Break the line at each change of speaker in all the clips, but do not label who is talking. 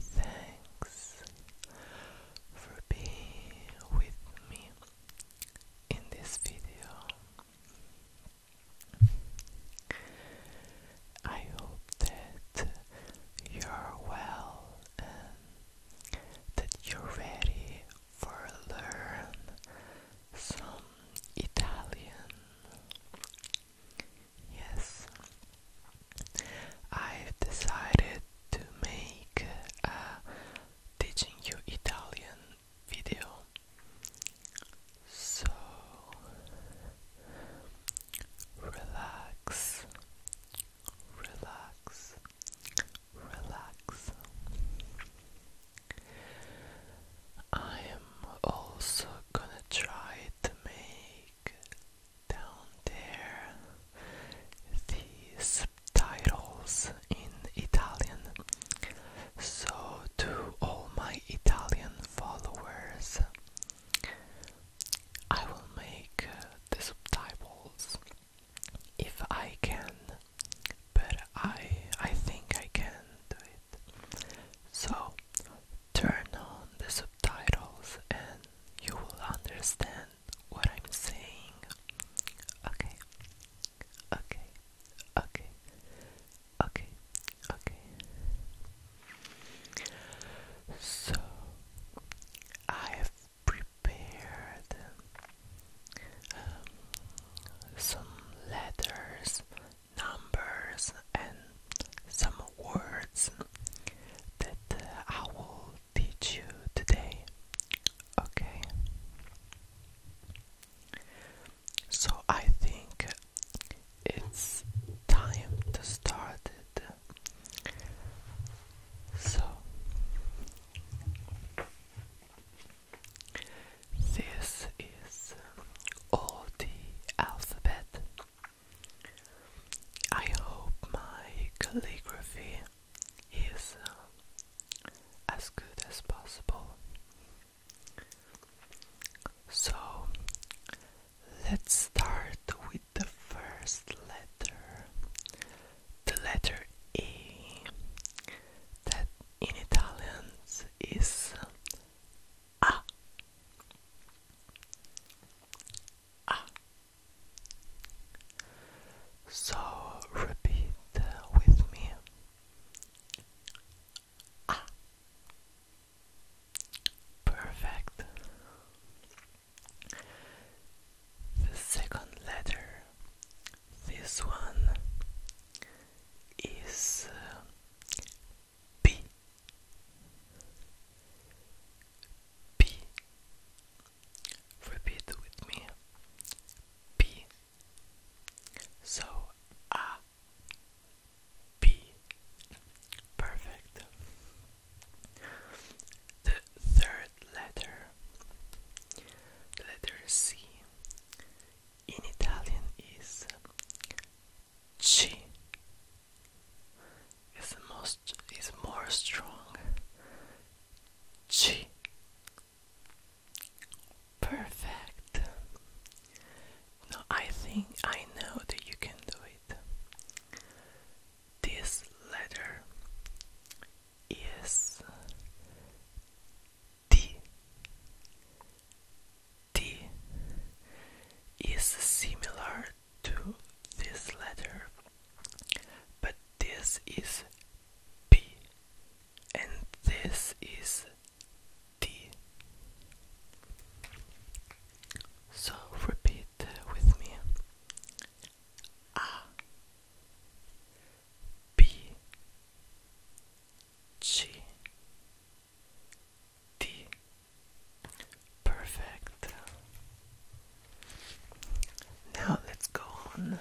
Thanks for being with me in this video. I hope that you're well and that you're ready for learn some Italian. Yes, I've decided to make a teaching you Italian video. So relax, relax, relax. I am also gonna try to make down there, the subtitles in Italian. So, to all my Italian followers, I will make uh, the subtitles if I can, but I I think I can do it. So, turn on the subtitles and you will understand what I'm saying. Okay. Okay. Okay. Okay. Okay. So I have prepared um, some letters, numbers, and some words that uh, I will teach you today. Okay. So I think it's time to start it. So this is all the alphabet I hope my calligraphy is uh, as good as possible. So let's start with the first letter, the letter E, that in Italian is uh, A ah. So repeat with me. Ah. Perfect. The second letter, this one is uh, B. P. Repeat with me. P. So A. Ah. P. Perfect. The third letter, the letter C, in Italian is C is most is more strong Chi Perfect Now I think I know that you can do it This letter is is similar to this letter, but this is P and this is D. So repeat with me A B G D Perfect. Now let's go on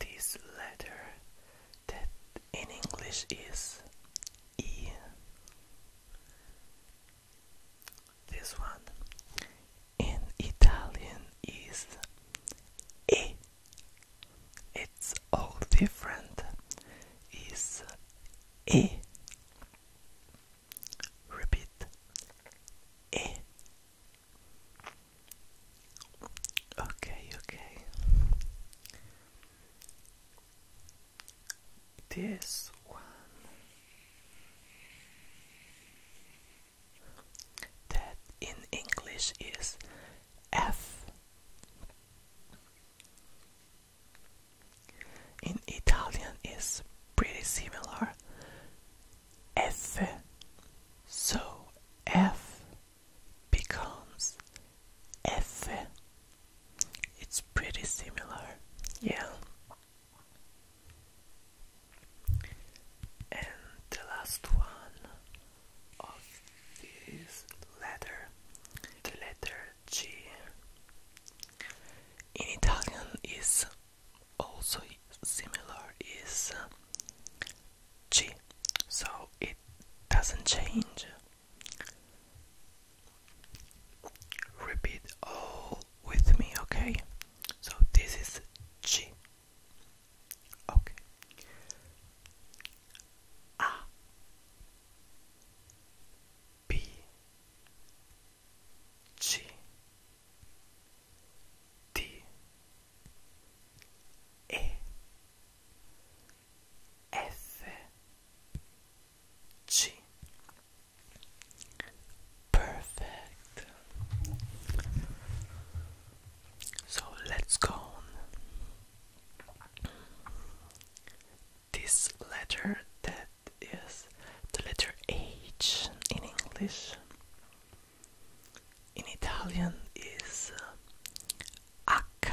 this letter that in English is E. This one in Italian is E it's all different is E. Repeat E. Okay, okay. This one that in English is F. In Italian is pretty similar. F. So F becomes F. It's pretty similar. Yeah. And the last one of this letter, the letter G in Italian is also similar is uh, G so it doesn't change repeat all with me okay so this is G okay a B C D E F G Perfect. So let's go this letter that is the letter H in English in Italian is uh, H.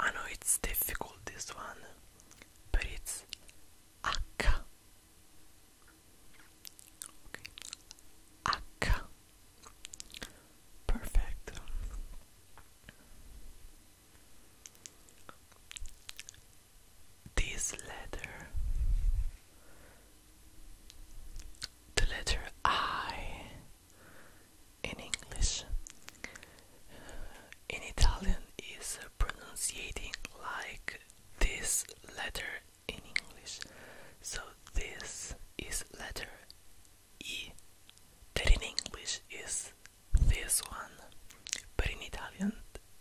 I know it's difficult this one, but it's H. H. Perfect. This letter, the letter I in English, in Italian is pronouncing like this letter in English. So this is letter E that in English is this one, but in Italian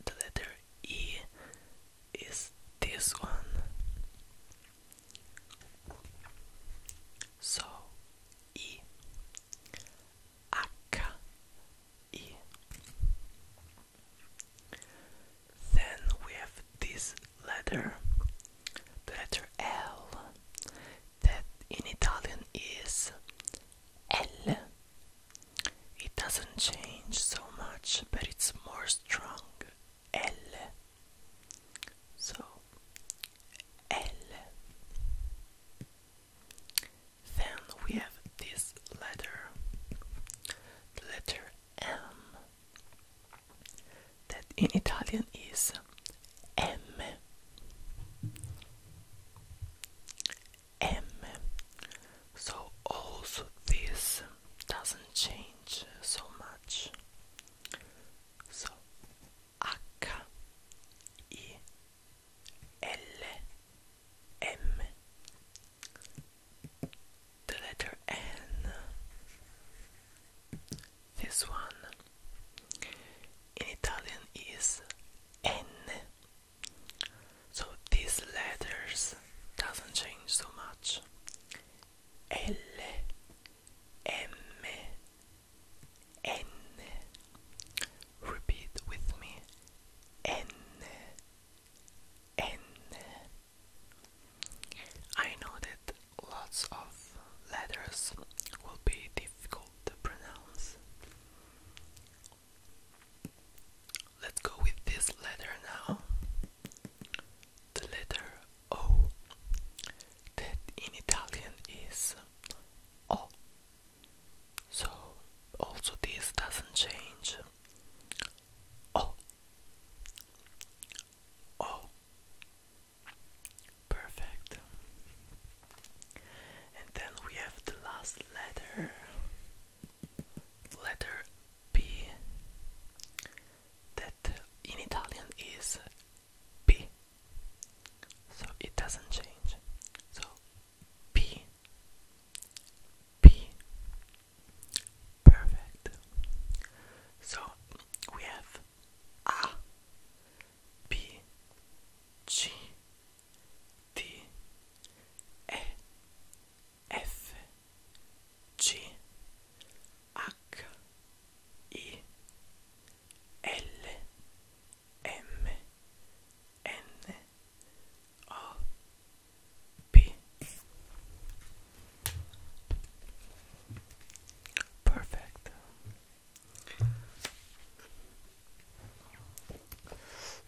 the letter E is this one. So E H E. Then we have this letter, letter L, that in Italian is L. It doesn't change so much, but it's more strong. L. So, L. Then we have this letter, letter M that in Italian is M. M. So also this doesn't change so much. So H I L M the letter N this one in Italian is N. So these letters doesn't change so much. L, M, N. Repeat with me. N, N. I know that lots of letters will be difficult to pronounce. Let's go with this letter now. The letter O that in Italian is O. So also this doesn't change. O. O. Perfect. And then we have the last letter. Letter B. That in Italian is B. So it doesn't change. So P. P. Perfect. So we have A B C D E F G H I L M N O P Perfect.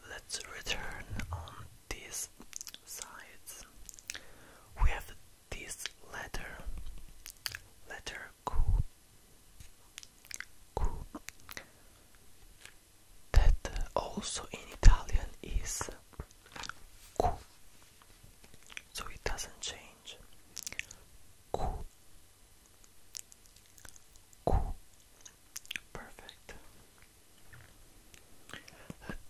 Let's return on these sides. We have this letter. Letter Q. Q. That also in Italian is Q so it doesn't change. Cool. Cool. Perfect.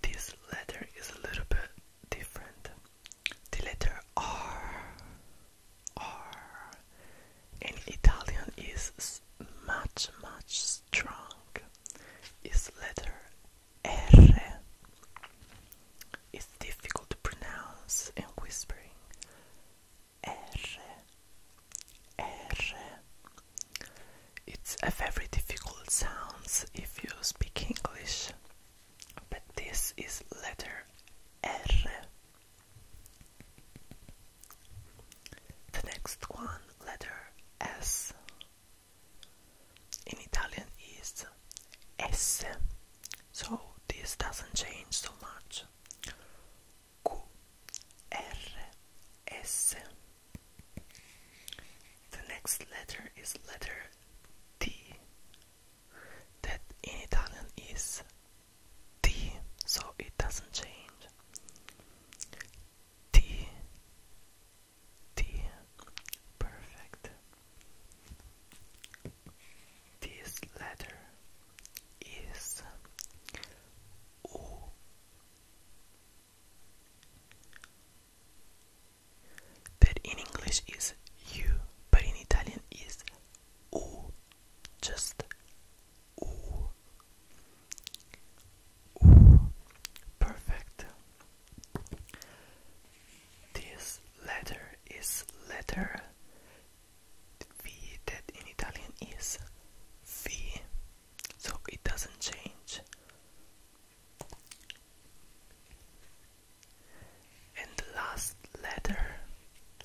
this letter is a little bit different. The letter R, R in Italian is much, much strong. Is letter R is difficult to pronounce in whispering. R, R. It's a very difficult sound if you speak English, but this is letter R. The next one, letter S in Italian is S, so this doesn't change so much. Q, R, S. The next letter is letter T, that in Italian is T, so it doesn't change. T, T. Perfect. This letter is O. That in English is U, but in Italian is O. Just U. U. Perfect. This letter is letter V that in Italian is V, so it doesn't change. And the last letter,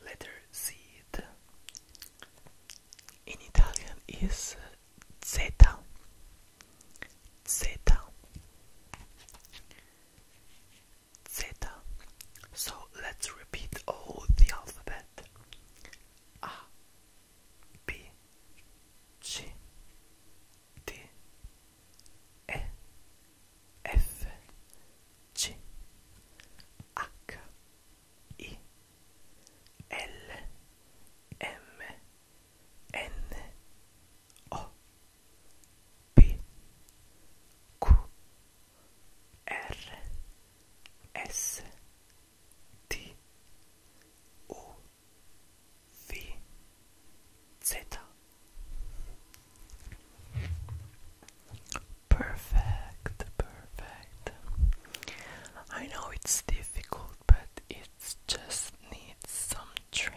letter Z in Italian is Zeta zeta zeta so let's repeat all the alphabet a b c d e f g h i L M N O P Q R S T U V Z Perfect, perfect. I know it's difficult, but it just needs some train.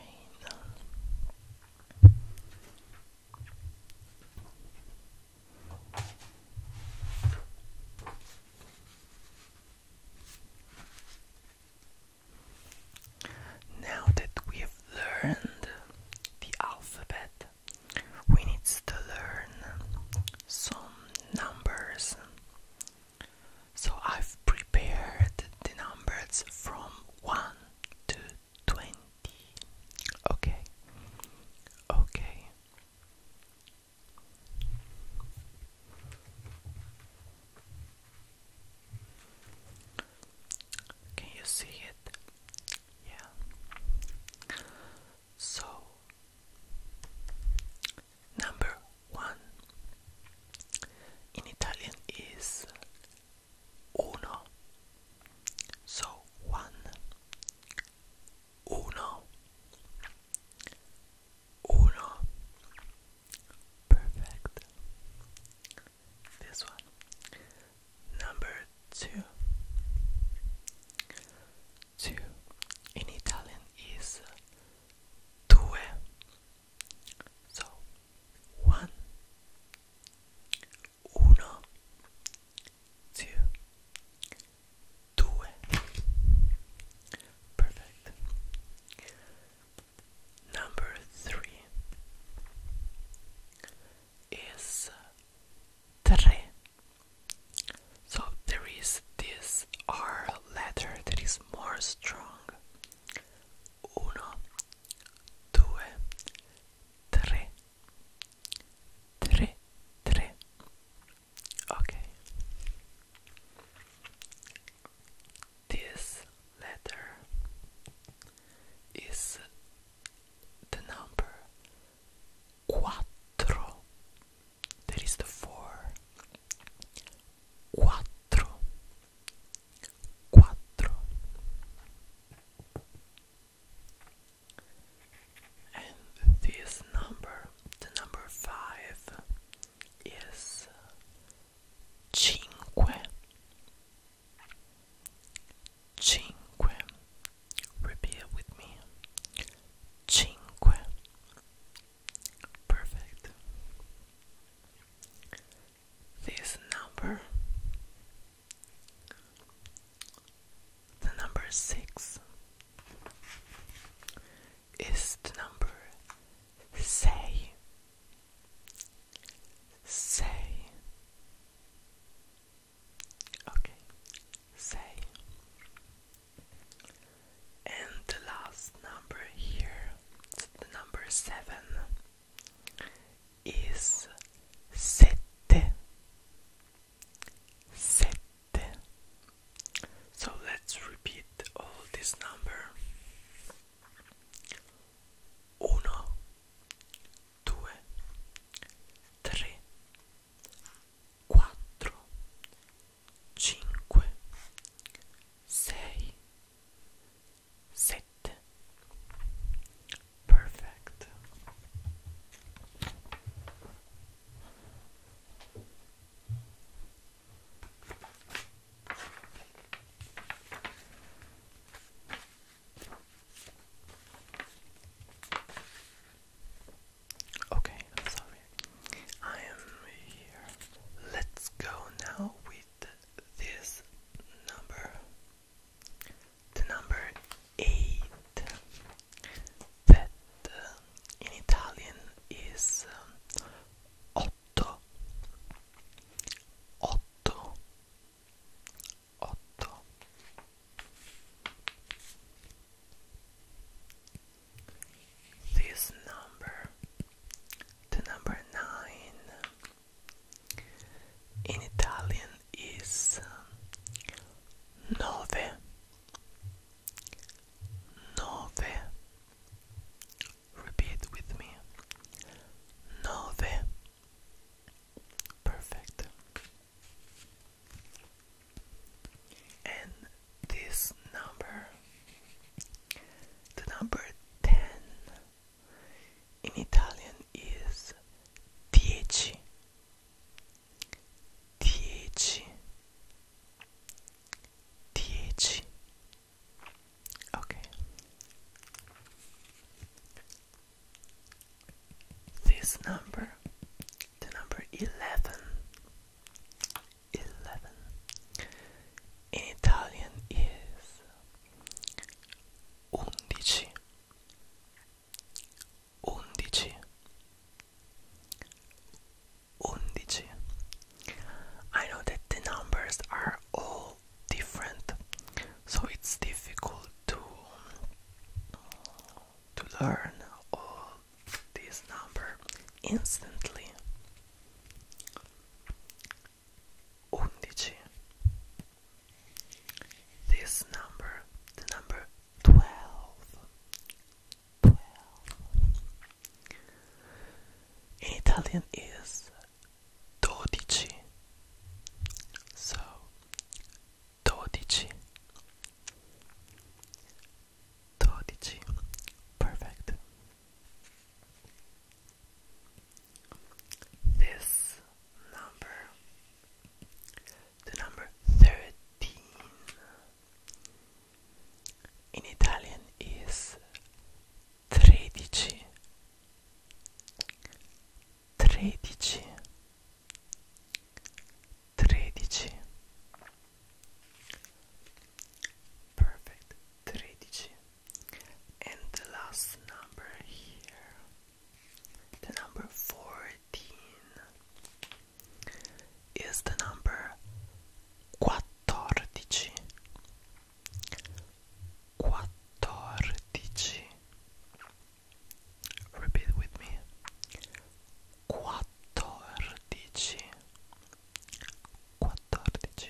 Now that we have learned the alphabet, we need to learn some numbers. So I've prepared the numbers from 1 to 20. Okay. Okay. Can you see it? Yeah. So, number one in Italian is uno. So one, uno, uno. Perfect. This one. Number two. Two in Italian is due. So, one, uno, two, due. Perfect. Number three is tre. So there is this R letter that is more strong. Uno, due, Ok. This letter is the number quattro. That is the four. Quattro. 4 and this number the number 5 is cinque cinque repeat with me cinque perfect this number, the number six, is the number say, say, okay, say, and the last number here, the number seven is sette. Sette. So let's repeat all this number. Uno, due, tre, quattro, cinque, sei, Sit. Perfect. Okay, I'm here. Let's go now with this number, the number eight, that uh, in Italian is um, otto, otto, otto. This number, the number nine in Italian is um, nove, nove. Repeat with me, nove. Perfect. And this number, the number ten in Italian is dieci dieci dieci okay this number the number 11 11 in Italian is undici I know that the numbers are all different so it's difficult to to learn all these numbers instantly 11 This number, the number 12 12 in Italian is dodici so dodici dodici perfect this number, the number 13 in Italian is tredici, tredici, tredici. Perfect, tredici and the last number here the number 14 is the number quattordici quattordici repeat with me quattordici quattordici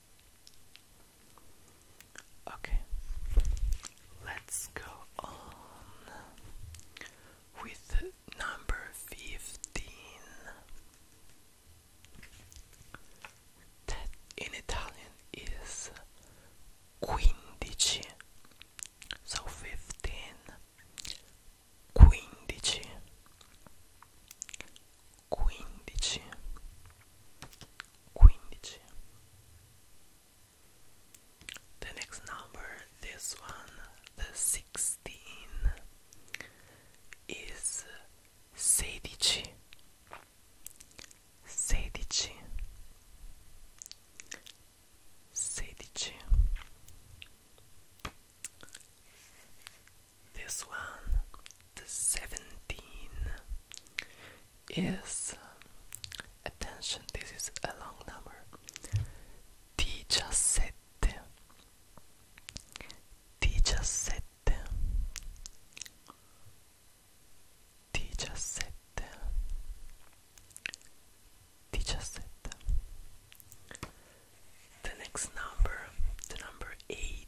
Okay, let's go on with number fifteen. That in Italian is quindici, so fifteen. Quindici, quindici quindici the next number this one the 16 is sedici sedici sedici this one, the 17, is attention, this is a long number. Diciassette, diciassette, diciassette, diciassette. The next number, the number 18,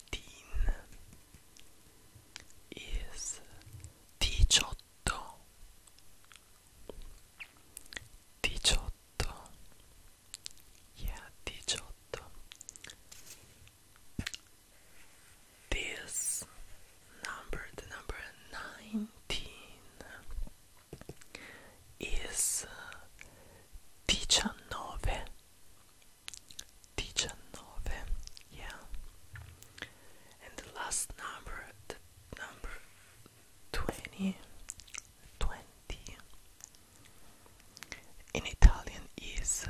is diciotto. Diciotto. Yeah, diciotto. This number, the number 19, is diciannove diciannove, yeah. And the last number, the number twenty, twenty in Italian is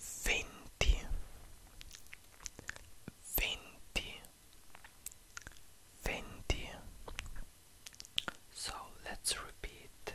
venti, venti, venti. So let's repeat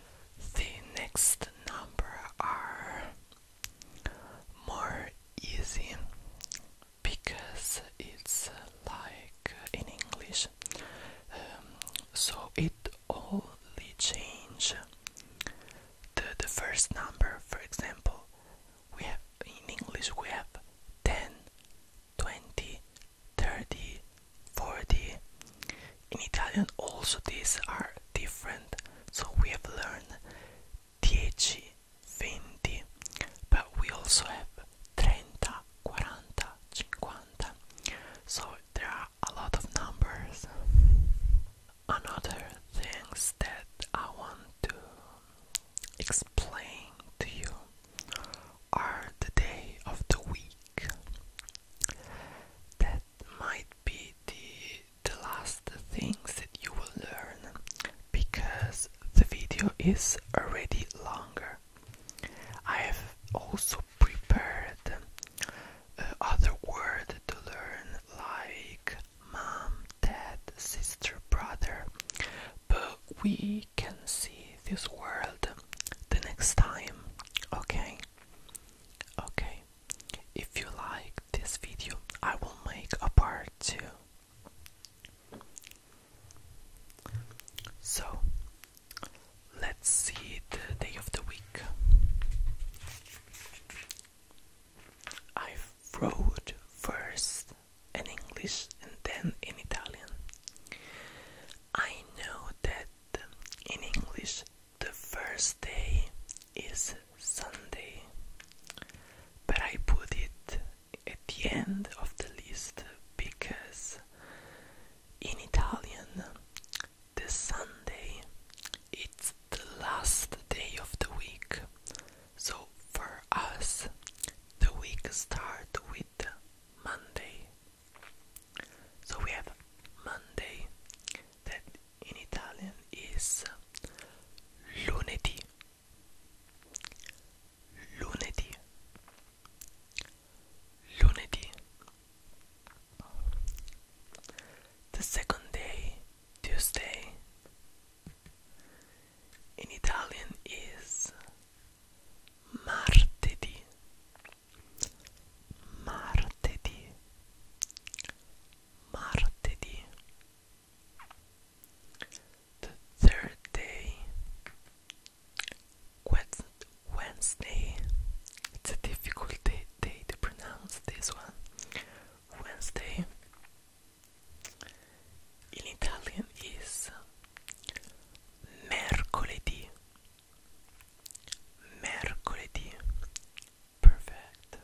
The next number are more easy because it's uh, like uh, in English, um, so it only change the, the first number. For example, we have in English we have 10, 20, 30, 40. In Italian also these are different, so we have learned 10, 20, but we also have 30, 40, 50. So there are a lot of numbers. Another things that I want to explain to you are the day of the week. That might be the, the last things that you will learn because the video is already longer. I have also prepared uh, other words to learn like mom, dad, sister, brother, but we can see this world the next time, okay? Okay, if you like this video, I will make a part 2. So, let's see the day of the week. I wrote first in English and then in Italian. I know that in English, the first day is Sunday, but I put it at the end of the list because in Italian, the Sunday it's the last day of the week. So for us, the week starts with Monday. So we have Monday that in Italian is lunedì. Lunedì. Lunedì. The second day, Tuesday, in Italian is martedì martedì martedì the third Wednesday it's a difficult day, day to pronounce this one Wednesday in Italian is mercoledì mercoledì perfect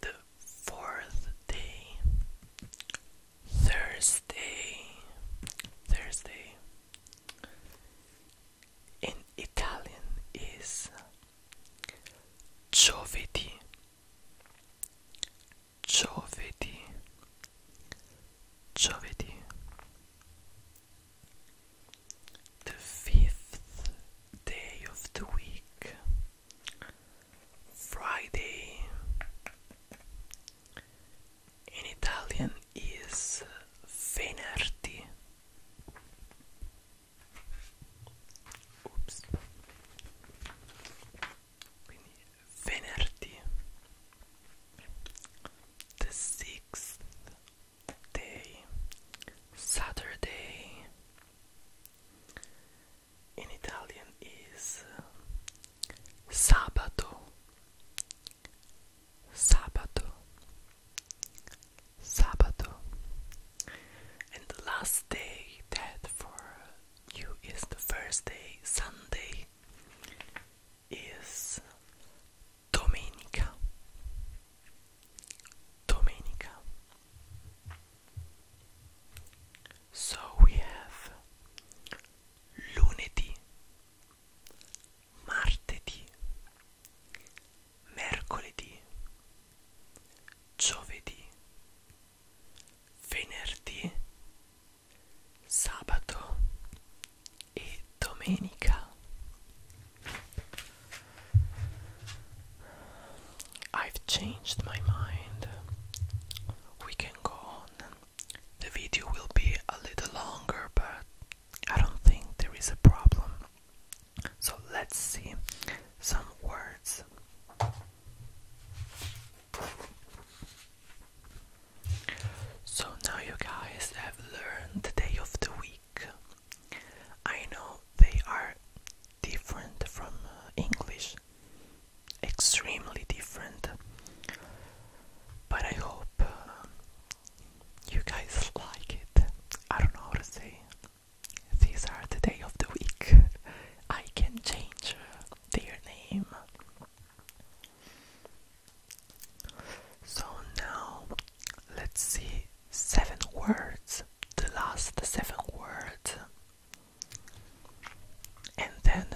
the fourth day Thursday Thursday in Italian is giovedì giovedì giovedì the fifth day of the week, Friday, in Italian is venerdì. Oops venerdì the sixth day Saturday in Italian is sabato sabato sabato and the last day that for you is the first day Sunday is domenica. Domenica. So we have lunedì, martedì, mercoledì, giovedì, venerdì sabato e domenica I've changed my mind we can go on the video will be a little longer but I don't think there is a problem so let's see some words so now you guys have learned the day of the week. I know they are different from uh, English, extremely different, but I hope uh, you guys like it. I don't know how to say. These are the day of the week. I can change uh, their name. So now let's see seven words, the last seven words, and then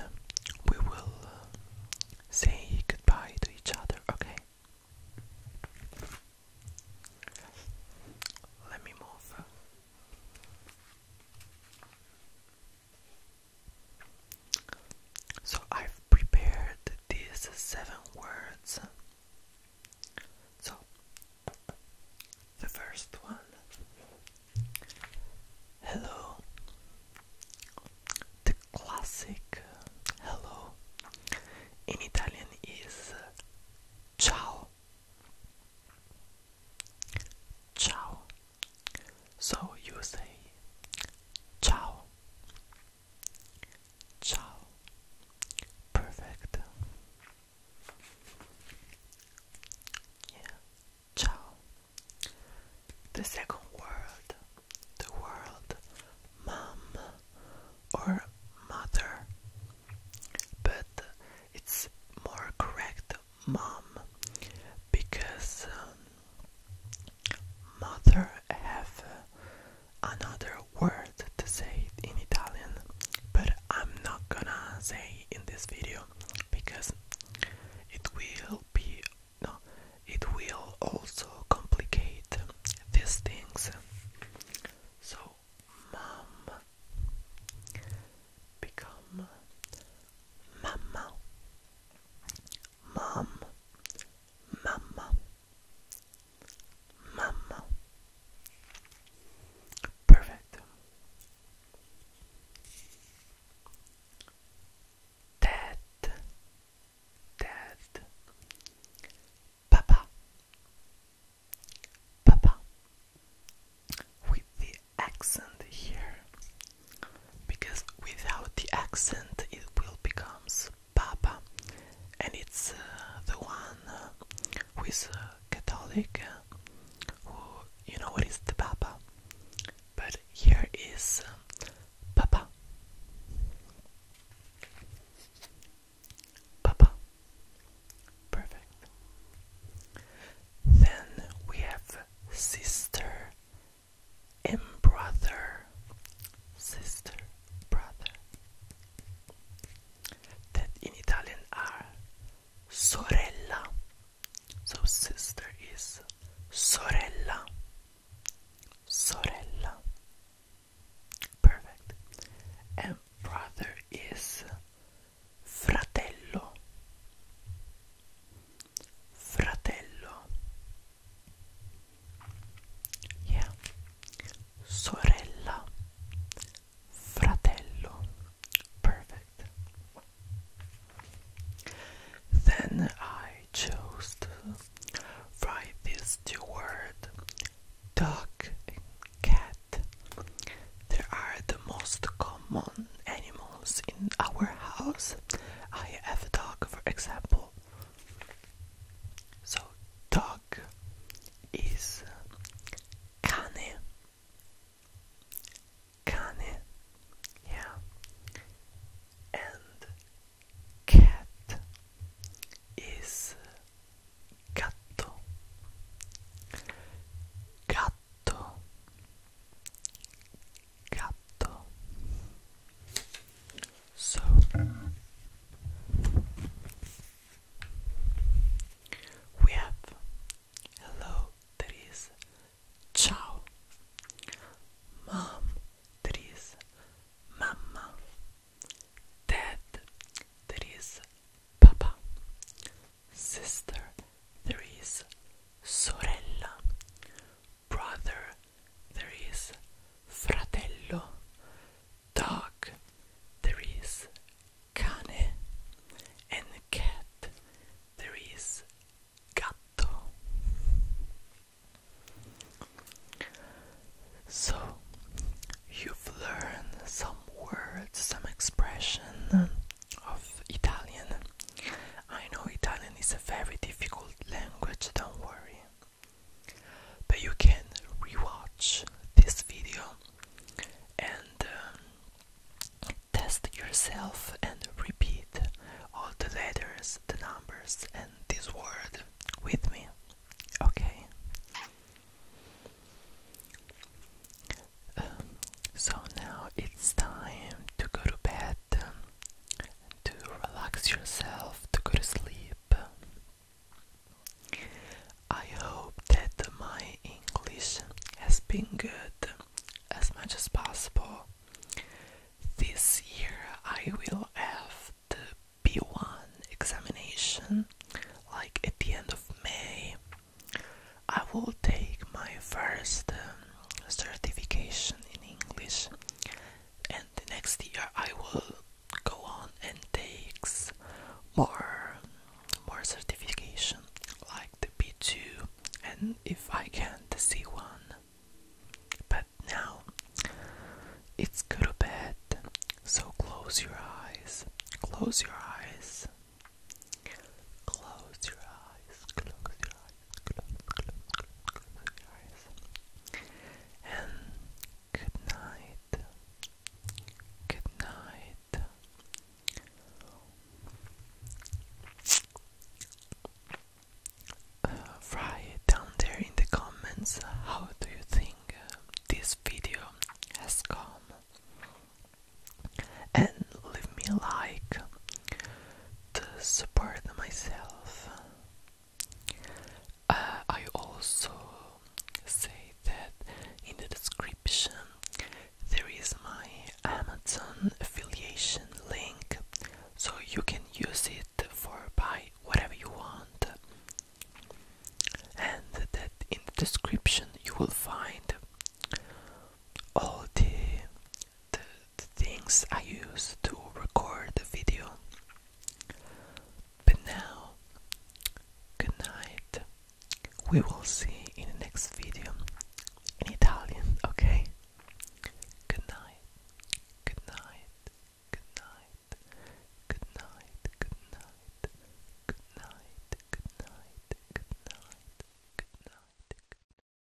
we will say goodbye to each other, okay? Let me move. So I've prepared these seven words. So the first one Hello. The classic hello in Italian is ciao. Ciao. So you say ciao. Ciao. Perfect. Yeah. Ciao. The second word, the word mom or mother. But it's more correct mom because um, Mother have another word to say in Italian, but I'm not gonna say in this video because it will be no, it will also complicate these things. So, mom become mamma mom, mama, mama. Perfect. Dad, dad, papa, papa. With the accent here, because without the accent it will becomes Papa, and it's uh, the one uh, who is uh, Catholic, uh, who you know what is the Papa, but here is Papa, Papa, perfect. Then we have sister and brother, sister, brother, that in Italian are sorella. So sister is sorella. Sorella. Perfect. And brother is fratello fratello yeah. sorella fratello perfect then I chose to write these two words dog cat they are the most common animals in our house. I have a dog, for example. So, dog is cane. Cane, yeah. And cat is gatto. Gatto gatto. So we have hello that is ciao, mom that is mamma, dad that is papa, sister there is sorella, brother, there is fratello, dog, there is cane, and cat, there is gatto. So, you've learned some words, some expression of Italian I know Italian is a very difficult language, don't worry. But you can rewatch this video and um, test yourself and repeat all the letters, the numbers, and this word with me. Okay? Um, so now it's time to go to bed to relax yourself, to go to sleep. I hope that my English has been good as much as possible. This year I will have the B1 examination like at the end of May. I will take my first um, certification in English, and the next year I will go on and take more more certification like the B2 and if I can the C1. But now it's good or bad. so close your eyes, close your eyes, close your eyes, close your eyes. And good night. Good night. Uh, write down there in the comments how do you think uh, this video has come and leave me a like to support myself. Uh, I also say that in the description there is my Amazon affiliation link so you can use it for buy whatever you want and that in the description you will find all the the, the things I used to record the video. But now, good night. We will see in the next video in Italian, okay? Good night, good night, good night, good night, good night, good night, good night, good night, good night.